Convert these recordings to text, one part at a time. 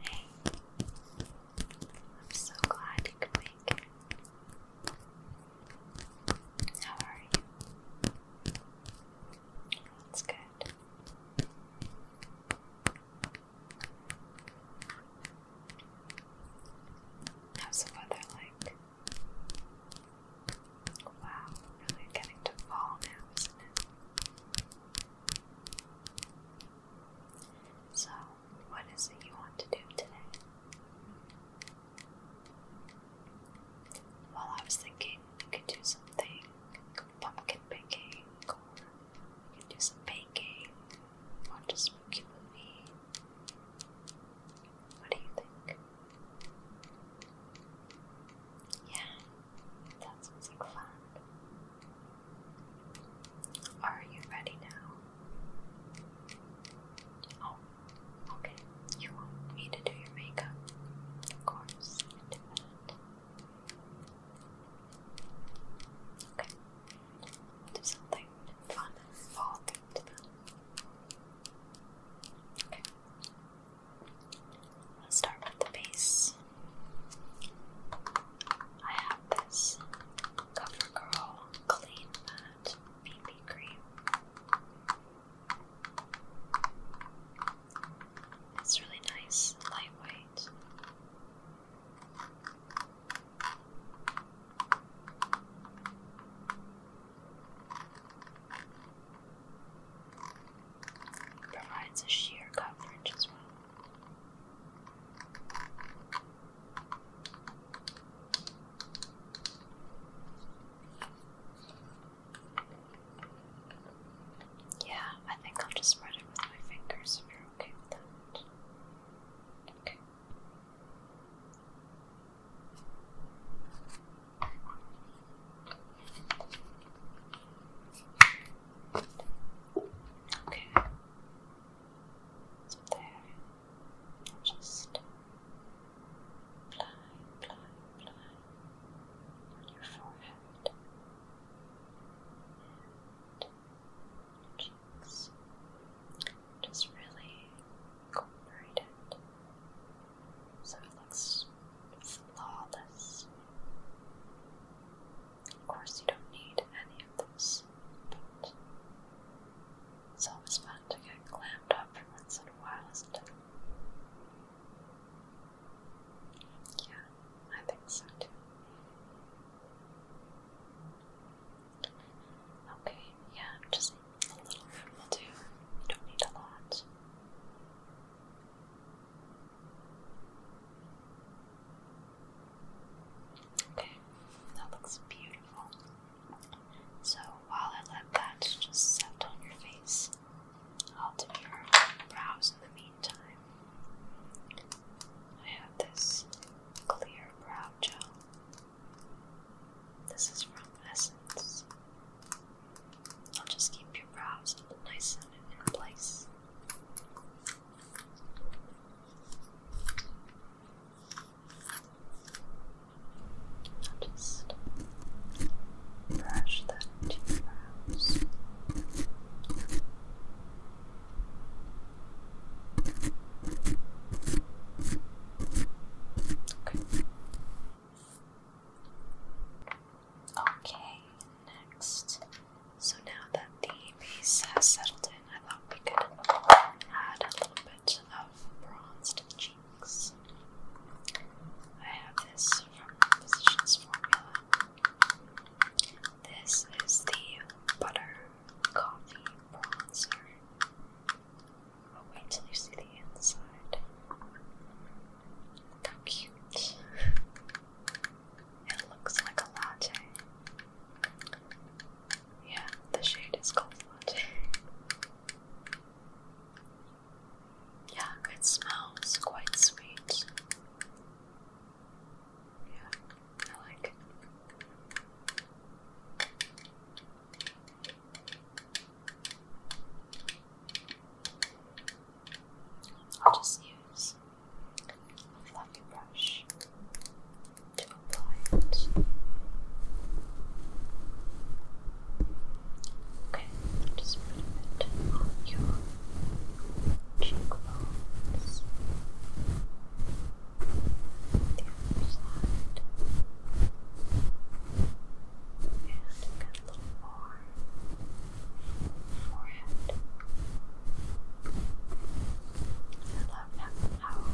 Hey, I'm so glad you could make it. How are you? That's good. How's the weather like? Wow, really getting to fall now, isn't it? So, what is it you want to do today? Well, I was thinking you could do something pumpkin picking, or you could do some baking, watch a spooky movie. What do you think? Yeah, that sounds like fun. Are you ready now? Oh, okay. You want me to do your makeup? Of course, Okay. I'll do something fun fall to them. Okay. I'll start with the base. I have this CoverGirl Clean Matte BB Cream. It's really nice, lightweight. Provides a sheer coverage as well. Yeah, I think I'll just spread it with my fingers if you're okay with that. Okay. Okay. there, just apply, apply, apply on your forehead cheeks. Just really incorporate so it looks flawless. Of course, you don't need any of those. but it's always fun to get clammed up for once in a while, isn't it? Yeah, I think so too. Okay, yeah, just a little bit will do. You don't need a lot. Okay, that looks beautiful. So while I let that just settle on your face, I'll do your brows in the meantime. I have this clear brow gel. This is from Essence. I'll just keep your brows nice and in place just brush that into Okay. Okay, next. So now that the base has settled in, I thought we could add a little bit of bronze to the cheeks. I have this from Physicians Formula. This is the Butter Coffee Bronzer. wait till you see the inside. Look cute. It looks like a latte. Yeah, the shade is called latte. Yeah, it smells quite sweet. Yeah, I like I'll just use a fluffy brush to apply it. Okay, just put a on your cheekbones. The other side. And a little more arm, forehead. I love how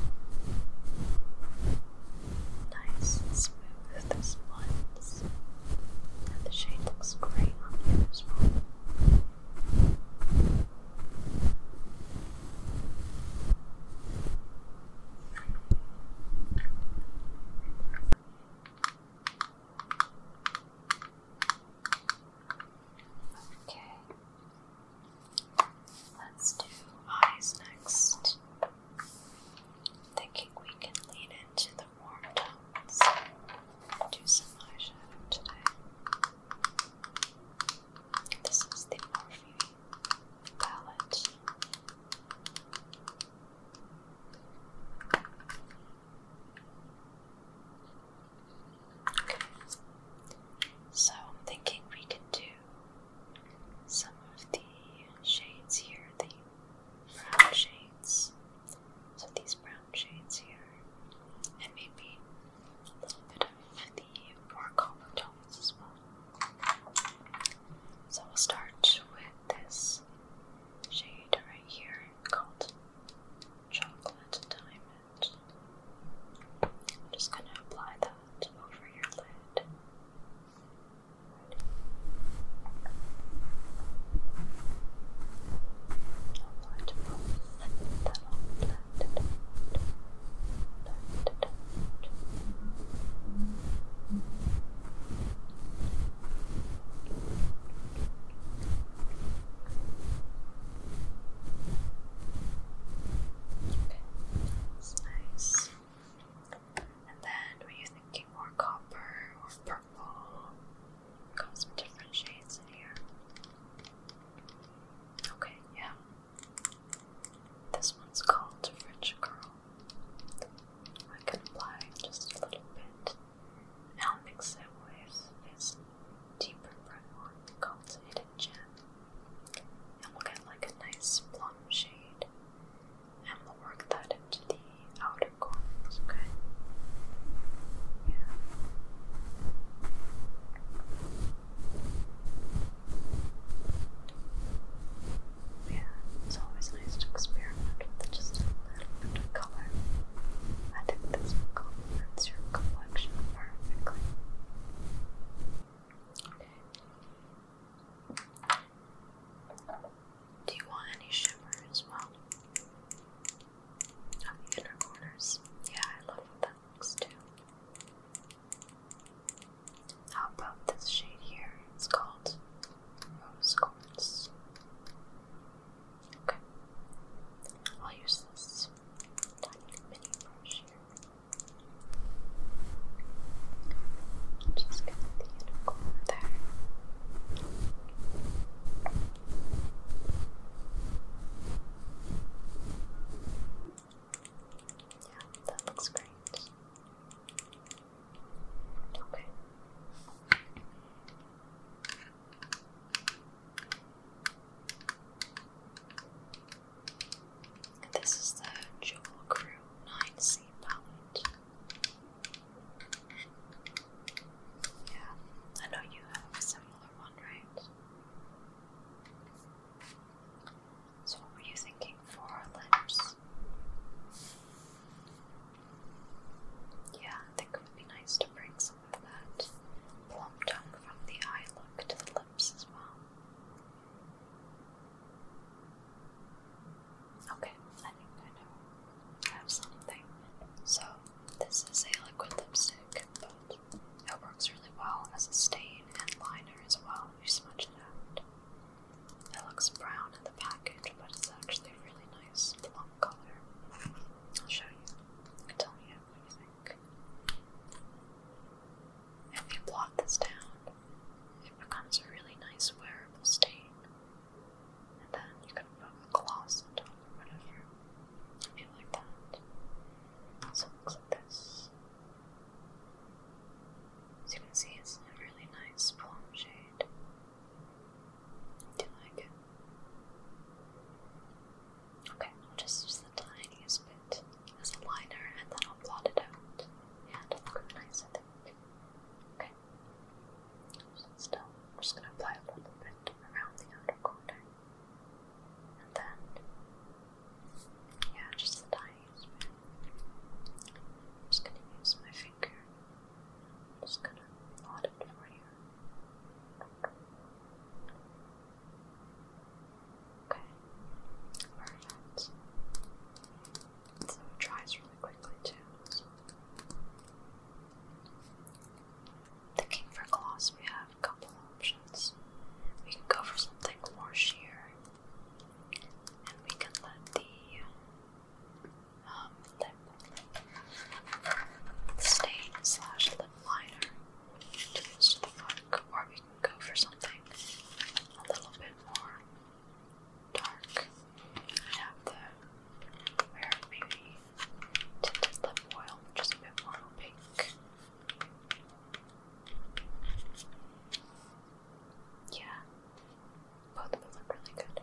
nice and smooth this blends, and the shade looks great on you as well. Okay. Let's do eyes next. Thinking we can lean into the warm tones. Do some eyeshadow today. This is the Morphe palette. So I'm thinking we can do some of the shades here, the brown shades. So these brown shades here, and maybe a little bit of the more copper tones as well. So we'll start with this shade right here called Chocolate Diamond. I'm just going to apply that over your lid. That's nice. And then, were you thinking more copper or purple? got some different shades in here. Okay, yeah. This one's called French Girl. I can apply just a little bit. I'll mix it with this deeper brown one Gem. And we'll get like a nice plum shade. And we'll work that into the outer corners, okay? Yeah. Yeah, it's always nice to experiment with just and color. I think this will complement your complexion perfectly. Do you want any shimmer as well? On the corners. Yeah, I love that too. How about this shade here? It's called rose quartz. Okay. I'll use this tiny mini brush here. Just get the unicorn there. Yeah, that looks great. This is the Jewel Crew 9C palette. Yeah, I know you have a similar one, right? So, what were you thinking for lips? Yeah, think it would be nice to bring some of that plum tongue from the eye look to the lips as well. Okay, I think I know. I have something. So, this is a liquid lipstick, but it works really well as a stain and liner as well. You smudge it out. It looks brown in the package, but it's actually a really nice plum color. I'll show you. You can tell me what you think. If you blot this down, it becomes a really nice wearable stain. And then you can put a gloss on top or whatever. If you like that. So it looks like this. As you can see, it's a really nice plum shade. Do you Okay, I'll just use the tiniest bit as a liner and then I'll blot it out. Yeah, it look nice, I think. Okay. still, I'm just gonna apply a little bit around the outer corner. And then yeah, just the tiniest bit. I'm just gonna use my I'm just gonna blot it for you. Okay, perfect. it dries really quickly too. Thinking for gloss, we have a couple options. We can go for something more sheer and we can let the um, lip stain slash lip liner close the look, or we can go for something a little bit more dark. have the where maybe tinted lip oil, just a bit more opaque. Yeah, both would look really good.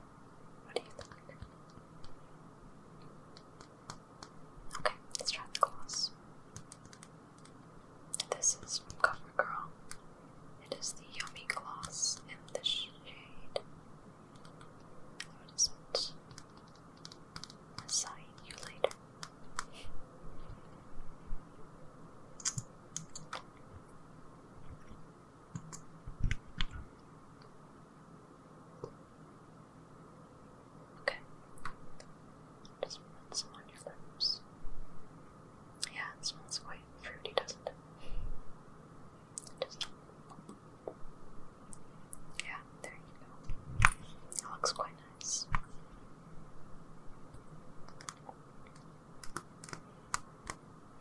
What do you think? Okay, let's try the gloss. This is CoverGirl. It is the Yummy Gloss in the shade. What is it? Assign you later. Okay. Just put some on your lips. Yeah, it smells quite fruity, doesn't it? Yeah, there you go. It looks quite nice.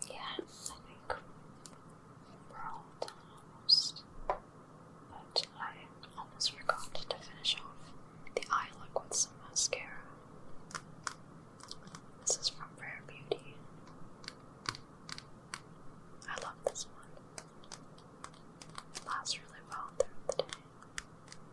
Yeah, I think we're all done almost. But I almost forgot to finish off the eye look with some mascara. This is from Rare Beauty. I love this one. lasts really well throughout the day.